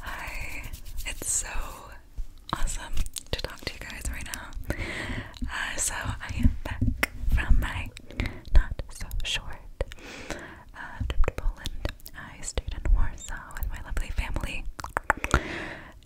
Hi, it's so awesome to talk to you guys right now. Uh, so, I am back from my not so short uh, trip to Poland. I stayed in Warsaw with my lovely family,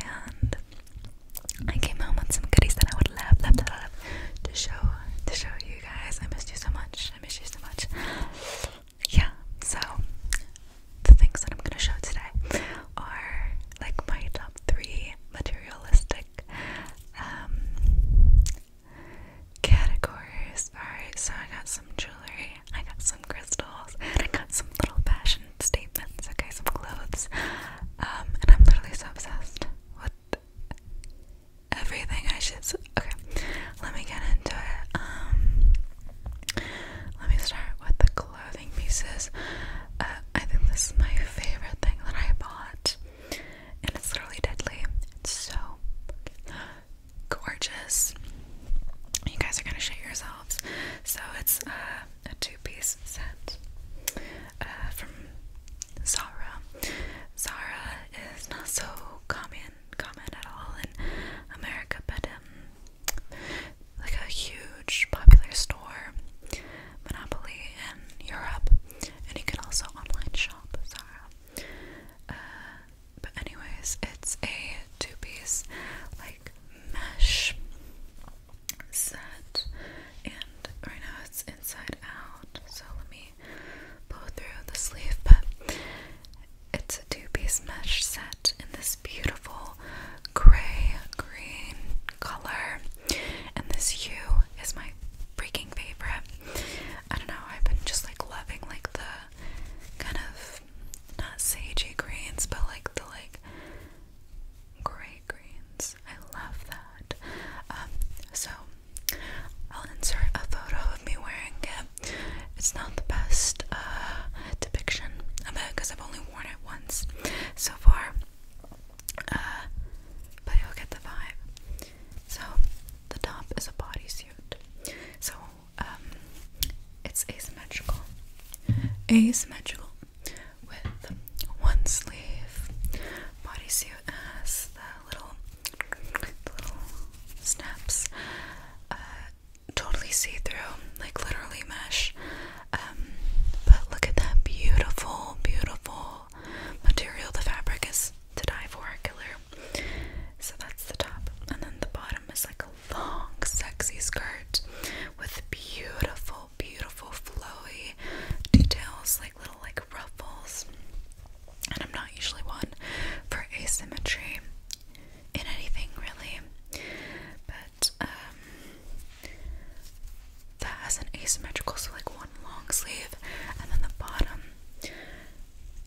and I came home with some goodies that I would love, love, love, to show to show you guys. I missed you so much. I missed you so much yeah, so the things that I'm gonna show today are like my top three materialistic um, categories. Alright, so I got some jewelry, I got some crystals, and I got some little fashion statements, okay, some clothes. Um, and I'm literally so obsessed with everything I should Okay, let me get into it. Um, let me start with the clothing pieces. Uh, I think this is my favorite thing that I bought, and it's literally deadly. It's so gorgeous. You guys are gonna shit yourselves. So it's uh, a two-piece set uh, from Zara. Zara is not so common common at all in America, but um, like a huge popular store, Monopoly in Europe, and you can also online shop Zara. Uh, but anyways, it's a two-piece like mesh set, and right now it's inside out. So let me pull through the sleeve, but it's a two piece mesh set in this beautiful gray green color. And this hue is my freaking favorite. I don't know, I've been just like loving like the kind of not sagey greens, but like the like gray greens. I love that. Um, so I'll insert a photo of me wearing it it's not the best uh, depiction of it because I've only worn it once so far. Uh, but you'll get the vibe. So the top is a bodysuit. So um, it's asymmetrical, asymmetrical with one sleeve. Bodysuit has the little, little snaps. Uh, totally see through, like literally mesh. Um, but look at that beautiful, beautiful material. The fabric is to die for, killer. So that's the top, and then the bottom is like a long, sexy skirt with beautiful, beautiful, flowy details, like little like ruffles. And I'm not usually one for asymmetry in anything really. But um, that has an asymmetrical, so like one long sleeve, and then the bottom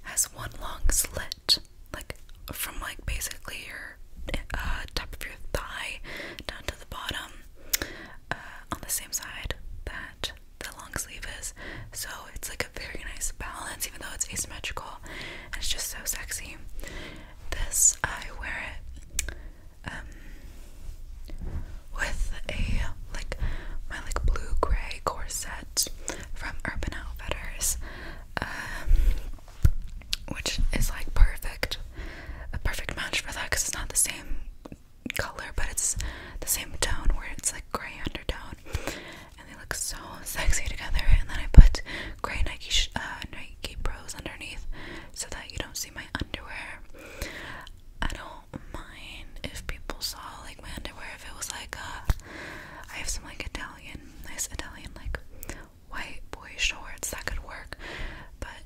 has one long slit, like from like basically your uh, top of your thigh down to the bottom uh, on the same side that the long sleeve is. So it's like a very nice balance, even though it's asymmetrical and it's just so sexy. This I wear it um, with a like my like blue gray corset from Urban Outfitters, um, which is like perfect, a perfect match for that because it's not the same color but it's the same tone where it's like gray undertone and they look so sexy together. And then I put gray Nike uh, Nike Pros underneath so that you don't see my underwear. I don't mind if people saw like my underwear if it was like uh, I have some like Italian, nice Italian like white boy shorts that could work, but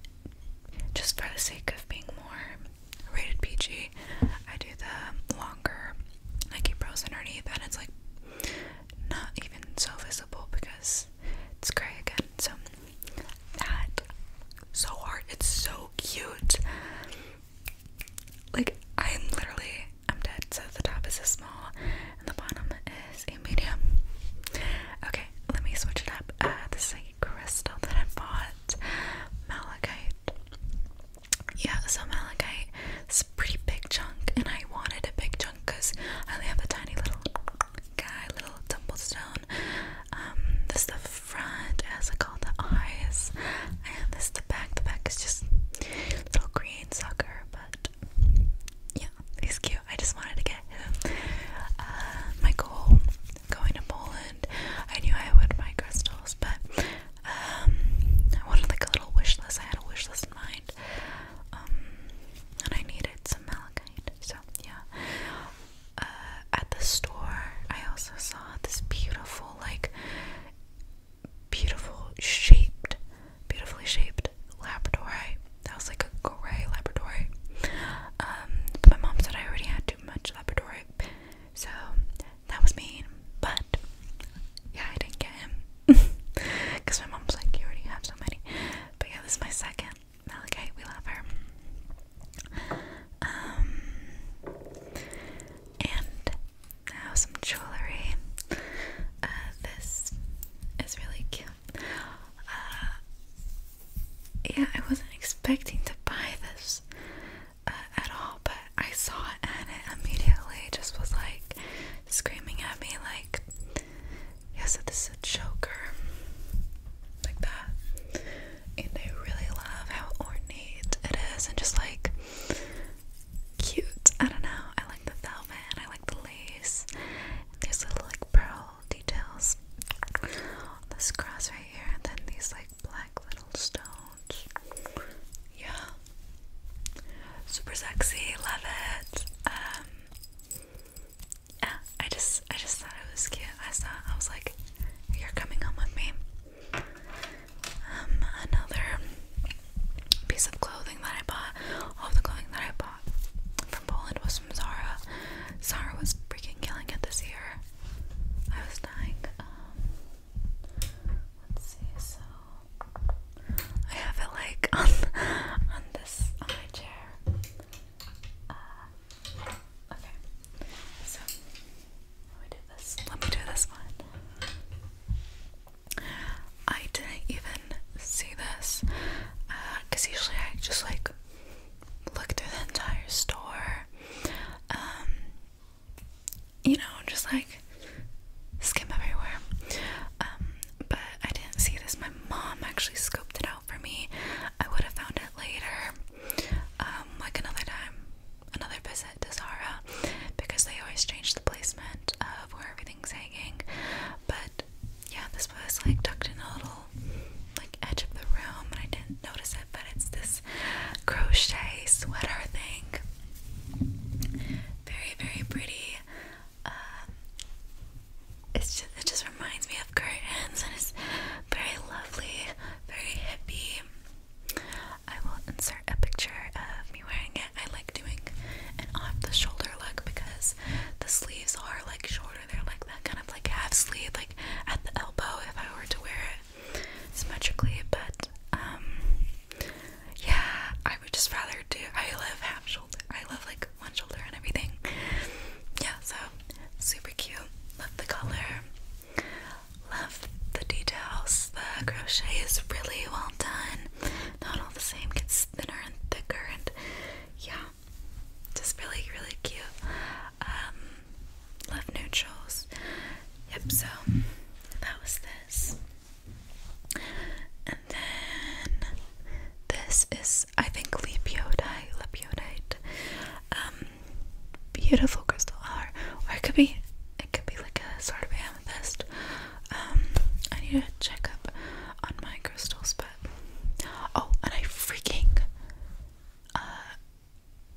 just for the sake of being more rated PG, I do the longer I keep Pros underneath, and it's like not even so visible because it's gray again. So that so hard. It's so cute. Like I'm literally I'm dead. So the top is a small and the bottom is a medium. Okay, let me switch it up. Uh, this is crystal that I bought, malachite yeah, so malachite is a pretty big chunk, and I wanted a big chunk because I only have a tiny little guy, little tumblestone. Um, this is the front, as I call the eyes, and this is the back. The back is just little green sucker, but yeah, he's cute. I just wanted to get him. Uh, my goal going to Poland, I knew I would buy crystals, but um, I wanted like a little wish list. I had a wish list in mind. Um, and I needed some malachite. So yeah. Uh, at the store, I also saw this beautiful, like, beautiful shaped, beautifully shaped laboratory. That was like a gray laboratory. Um, my mom said I already had too much laboratory, so that was me, but yeah, I didn't get him because my mom's like, You already have so many. But yeah, this is my second Malachite. We love her. Um, and now some jewelry. Uh, this is really cute. Uh, yeah, I wasn't expecting to buy this. Uh, at all, but I saw it and it immediately just was like screaming at me, like, "Yes, this is a choker, like that. And I really love how ornate it is and just like cute. I don't know, I like the velvet I like the lace. And there's little like pearl details this cross right here, and then these like black little stones yeah. Super sexy, love it. Um I just I just thought it was cute. I thought I was like, you're coming home with me. Um, another piece of clothing that I bought, all the clothing that I bought from Poland was from Zara. Zara was freaking killing it this year. I was dying. Um, let's see, so I have it like on on this on my chair. Uh, okay, so let me do this. Let me do this one. I didn't even see this because uh, usually I just like look through the entire store. Um, you know, just like skim everywhere. Um, but I didn't see this. My mom actually scoped it out for me. I would have found it later, um, like another time, another visit to Zara, because they always change the placement of where everything's hanging. But yeah, this was like tucked in a little like edge of the room, and I didn't notice it. But it's this crochet sweater thing. Very, very pretty. Uh, it's just, it just reminds me of curtains, and it's very lovely, very hippie. I will insert a picture of me wearing it. I like doing an off-the-shoulder look because the sleeves are like shorter. They're like that kind of like half sleeve, like at the elbow. If I were to wear it, symmetrically, but um, yeah, I would just rather do. I love half shoulder. I love like one shoulder and everything. Yeah, so super cute. Love the color. Love the details. The crochet is really well done. Not all the same. Gets thinner and thicker, and yeah, just really, really cute. Um, love neutrals. Yep. So that was this. And then this is, I think, lepiodite, lepiodite, um, beautiful crystal or it could be, it could be like a sort of amethyst. Um, I need to check up on my crystals, but oh, and I freaking, uh,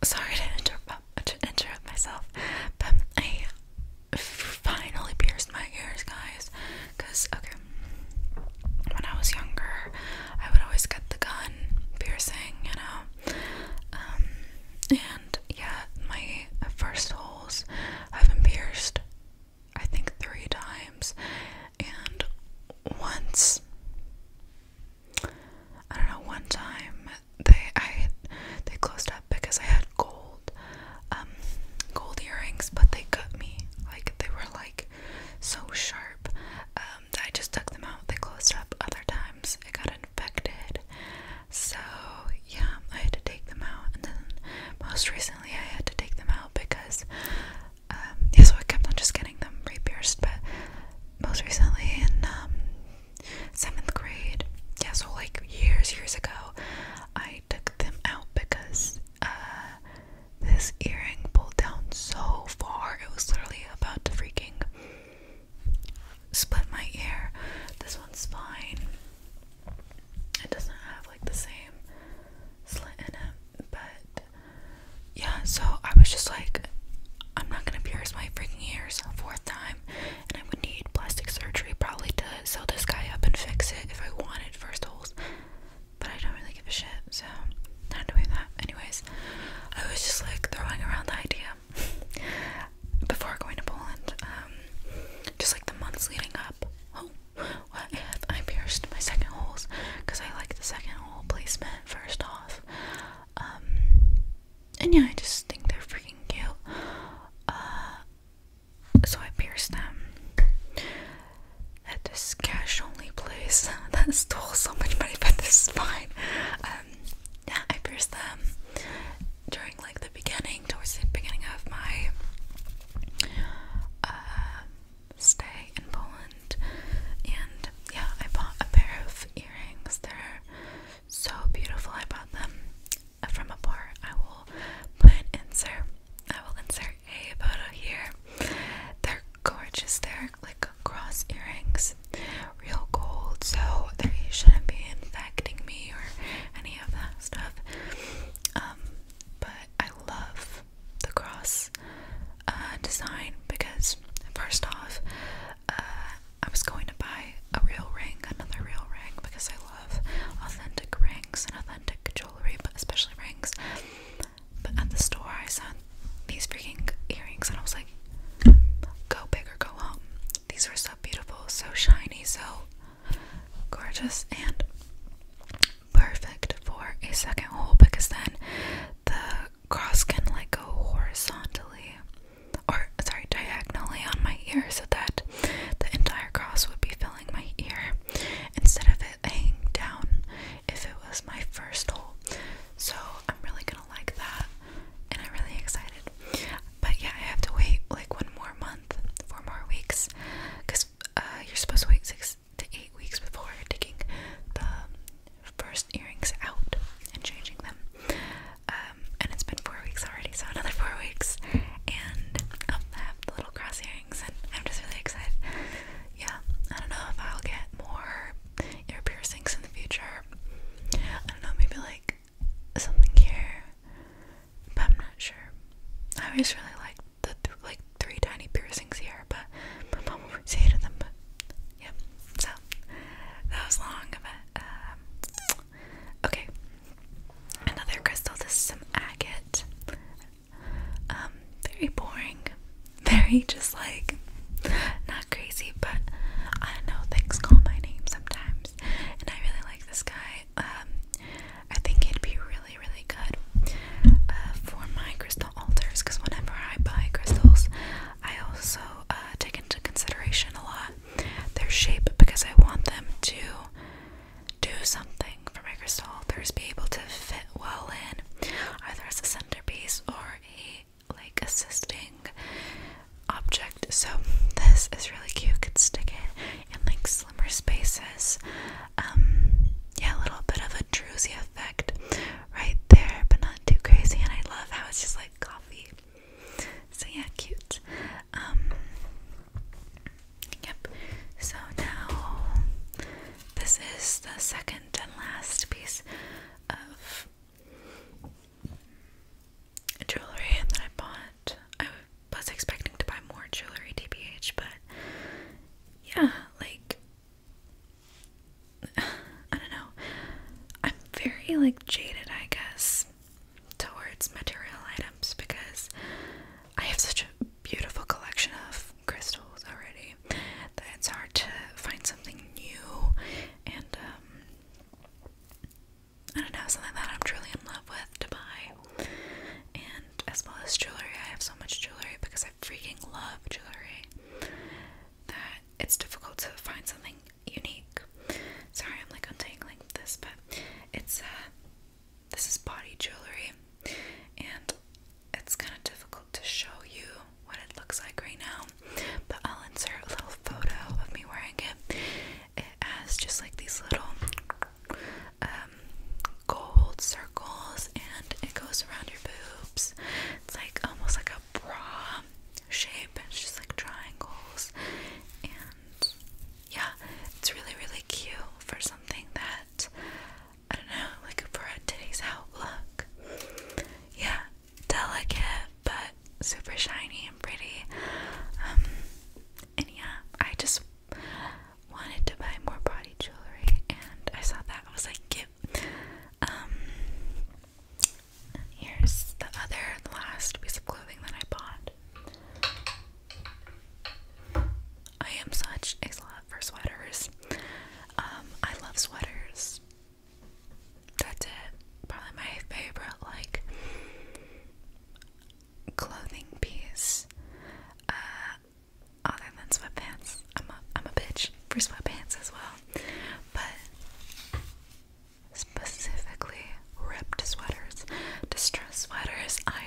sorry to interrupt, to interrupt myself, but I finally pierced my ears, guys. Cause okay, when I was younger, I would always get the gun piercing, you know. Um, and yeah, my first holes I've been pierced, I think three times, and once. I don't know, one time they I they closed up because I had gold um, gold earrings, but they cut me like they were like so sharp um, I just took them out. They closed up other times. It got infected. So yeah, I had to take them out, and then most recently I had to take them out because um yeah, so I kept on just getting them re-pierced, but most recently in seventh grade. Yeah, so like years, years ago, I took them out because uh, this earring pulled down so far, it was literally about to freaking split my ear. This one's fine. It doesn't have like the same slit in it, but yeah, so I was just like, I'm not gonna pierce my freaking ears a fourth time and I would need plastic surgery probably to sew this guy up and fix it if I wanted first holes. But I don't really give a shit, so not doing that. Anyways, I was just like throwing around the idea before going to Poland. Um, just like the months leading up. Oh, what if I pierced my second holes? Because I like the second hole placement first off. Um, and yeah, I just think they're freaking cute. Uh, so I pierced them at this cash only place that stole so much money, but this is um, yeah, I pierced them during like the beginning, towards the beginning of my uh, stay in Poland, and yeah, I bought a pair of earrings. they so beautiful I bought them from a bar. I will put insert. I will insert a photo here. They're gorgeous. They're like cross earrings, real gold. So they shouldn't be infecting me or any of that stuff. Um, but I love the cross uh, design because first off, uh, I was going to buy a real ring, another real ring, because I love authentic rings and authentic jewelry, but especially rings. But at the store, I saw these freaking earrings, and I was like, go big or go home. These were so beautiful, so shiny, so gorgeous, and perfect for a second hole because then the cross can like go horizontally or sorry, diagonally on my ear so that the entire cross would be filling my ear instead of it hanging down if it was my first hole. So I'm really gonna like that and I'm really excited. But yeah, I have to wait like one more month, four more weeks, because uh, you're supposed to wait six to eight weeks before taking the first earrings out and changing them. Um, and it's been four weeks already, so another four weeks. And i have the little cross earrings, and I'm just really excited. Yeah, I don't know if I'll get more ear piercings in the future. I don't know, maybe like something here, but I'm not sure. I always really liked the like three tiny piercings here, but my mom always hated them. But yeah, so that was long of a um, Okay, another crystal. This is some agate. Um, very boring. Very just like not crazy, but I know. Things call my name sometimes, and I really like this guy. Um, I think it'd be really, really good uh, for my crystal altars because whenever I buy crystals, I also uh, take into consideration a lot their shape because I want them to do something for my crystal altars, be able to fit well in, either as a centerpiece or a like assisting object. So this is really cute. could stick it in like slimmer spaces. Um, yeah, a little bit of a druzy effect right there, but not too crazy. And I love how it's just like coffee. So yeah, cute. Um, yep. So now this is the second and last piece of jewelry that I bought. I was expecting to buy more jewelry TBH, but yeah, like I don't know. I'm very like jaded, I guess towards material items because I have such a beautiful collection of crystals already that it's hard to find something new and um, I don't know, something that I'm truly in love with to buy. And as well as jewelry, I have so much jewelry because I freaking love jewelry that it's difficult to find something unique. Sorry, I'm like untangling this, but it's uh this is body jewelry and it's kind of difficult to show you what it looks like right now, but I'll insert a little photo of me wearing it. It has just like these little um gold circles and it goes around your boobs. It's like almost like a bra shape. It's just like triangles, and yeah, it's really really cute for something that I don't know, like for a today's out look. Yeah, delicate but super shiny and pretty. Um, and yeah, I just wanted to buy more body jewelry, and I saw that I was like, yep here's the other, the last piece of clothing that I bought. I am such a slut for sweaters. Um, I love sweaters. That's it. Probably my favorite, like, clothing piece. Uh, other than sweatpants. I'm a, I'm a bitch for sweatpants as well. But specifically ripped sweaters, distress sweaters. I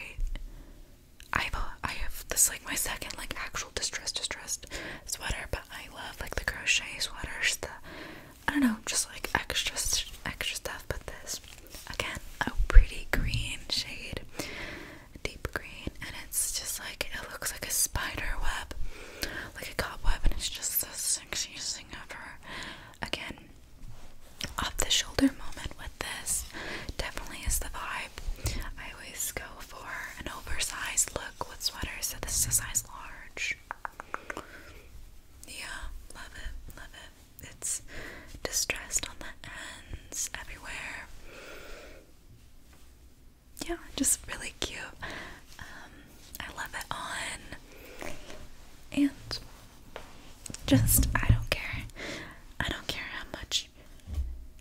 I've I have this like my second like actual distress distressed sweater, but I love like the crochet sweaters, the I don't know, just like extra extra stuff. But this again, a pretty green shade, deep green, and it's just like it looks like a spider web, like a cobweb, and it's just this sexiest thing ever. Again, off the shoulder moment with this definitely is the vibe. I always go for an oversized look with sweaters, so this is a size large. Yeah, love it, love it. It's distressed on the ends everywhere. Yeah, just really cute. Um, I love it on. And just I don't care. I don't care how much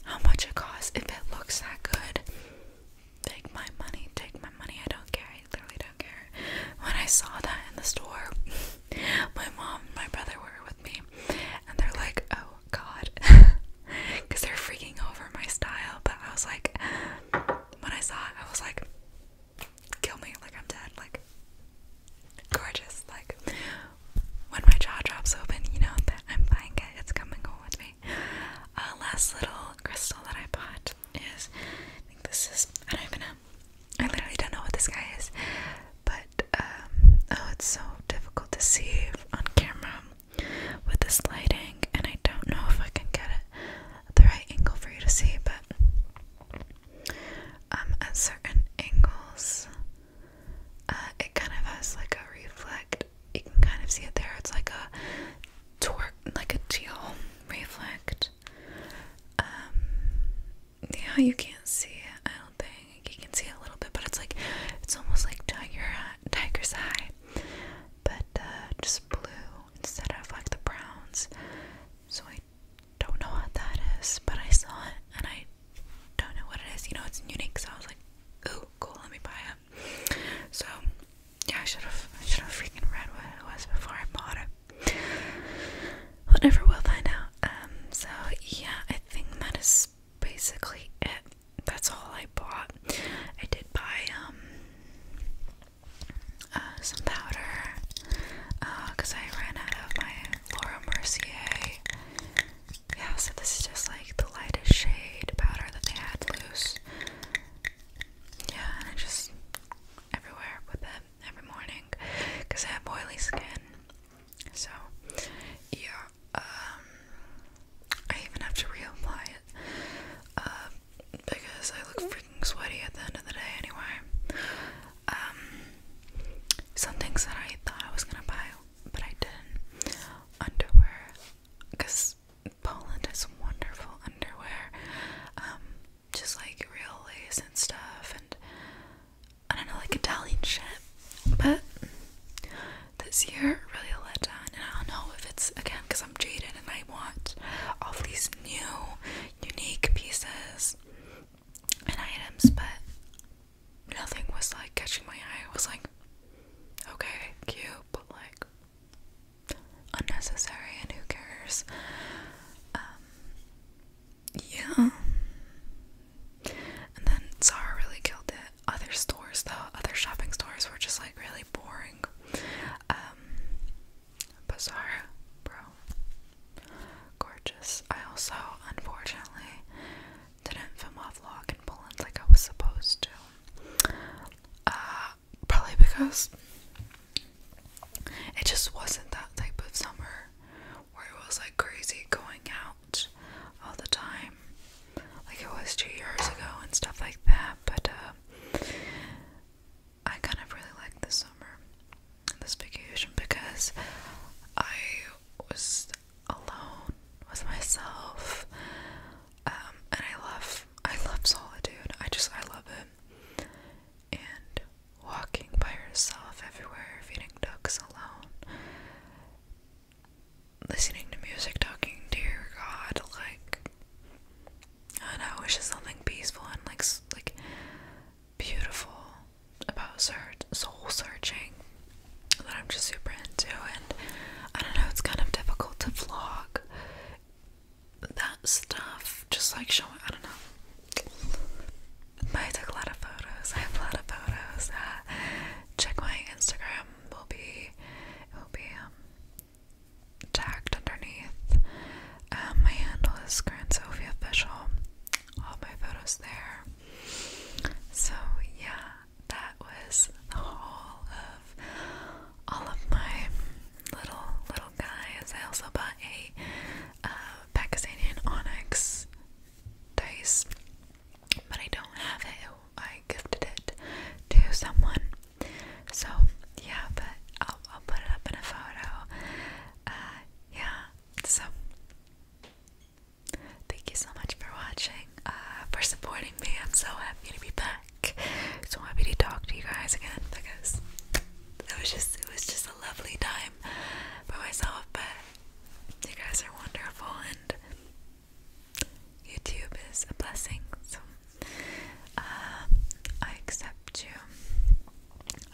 how much it costs. If it looks that good, take my money, take my money. I don't care. I literally don't care. When I saw that in the store, my mom and my brother were with me and they're like, oh god. Because they're freaking over my style. But I was like, when I saw it, I was like, kill me like I'm dead, like gorgeous, like when my jaw drops open, you know that I'm buying it, it's coming home with me. Uh, last little crystal that I bought is, I think this is, I don't even know, I literally don't know what this guy is, but, um, oh, it's so difficult to see on camera with this lighting, and I don't know if I can get it the right angle for you to see, but um, at certain angles, uh, it kind of has like a reflect. You can kind of see it there. It's like a torque, like a teal reflect. Um, yeah, you can't see it. I don't think you can see a little bit, but it's like it's almost like tiger tiger's eye, but uh, just blue instead of like the browns. So I don't know what that is, but I saw it and I don't know what it is. You know, it's unique, so I was like, ooh, cool, let me buy it. So yeah, I should have I should have freaking read what it was before I bought it. Whatever, never will find out. Um, so yeah, I think that is basically it. That's all I bought. I did buy um uh, some powder because uh, I ran out of my Laura Mercier. Yeah, so this is just like the lightest shade powder that they had loose. Yeah, and I just everywhere with it every morning because I have oily skin. So, yeah, um, I even have to reapply it uh, because I look freaking sweaty at the end of the day anyway. Um, some things that I thought I was gonna buy, but I didn't. Underwear, because Poland has wonderful underwear, um, just like real lace and stuff, and I don't know, like Italian shit. But this year really let down, and I don't know if it's again because I'm jaded and I I want all these new, unique pieces and items, but nothing was like catching my eye. It was like, okay, cute, but like unnecessary and who cares? Um, yeah. And then Zara really killed it. Other stores, though, other shopping stores were just like really boring boring. Um, bizarre, bro. Gorgeous. I also, unfortunately, didn't film a vlog in Poland like I was supposed to. Uh, probably because it just wasn't that type of summer where it was like crazy going out all the time, like it was two years ago and stuff like that. But uh, I kind of really like this summer, this vacation, because I was alone with myself, um, and I love, I love solitude. I just, I love it. And walking by yourself everywhere, feeding ducks alone, listening to music, talking Dear God, like I know it's just something peaceful and like like beautiful about search soul searching that I'm just super into and I don't know it's kind of difficult to vlog that stuff just like showing I don't know but I took a lot of photos I have a lot of photos check my Instagram will be will be um Tacked underneath. Um, my handle is Grand Sophie Official. All my photos there. So yeah, that was the haul of all of my little little guys. I also bought a uh, Pakistani onyx dice, but I don't have it. I gifted it to someone so yeah, but I'll, I'll put it up in a photo. Uh, yeah. So thank you so much for watching, uh, for supporting me. I'm so happy to be back. So happy to talk to you guys again because it was just it was just a lovely time by myself. But you guys are wonderful and. YouTube is a blessing, so um, I accept you.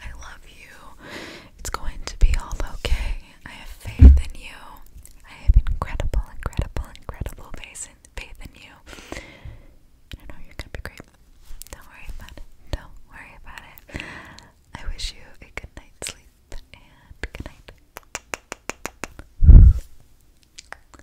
I love you. It's going to be all okay. I have faith in you. I have incredible, incredible, incredible faith in, faith in you. I know you're gonna be great. Don't worry about it. Don't worry about it. I wish you a good night's sleep and good night.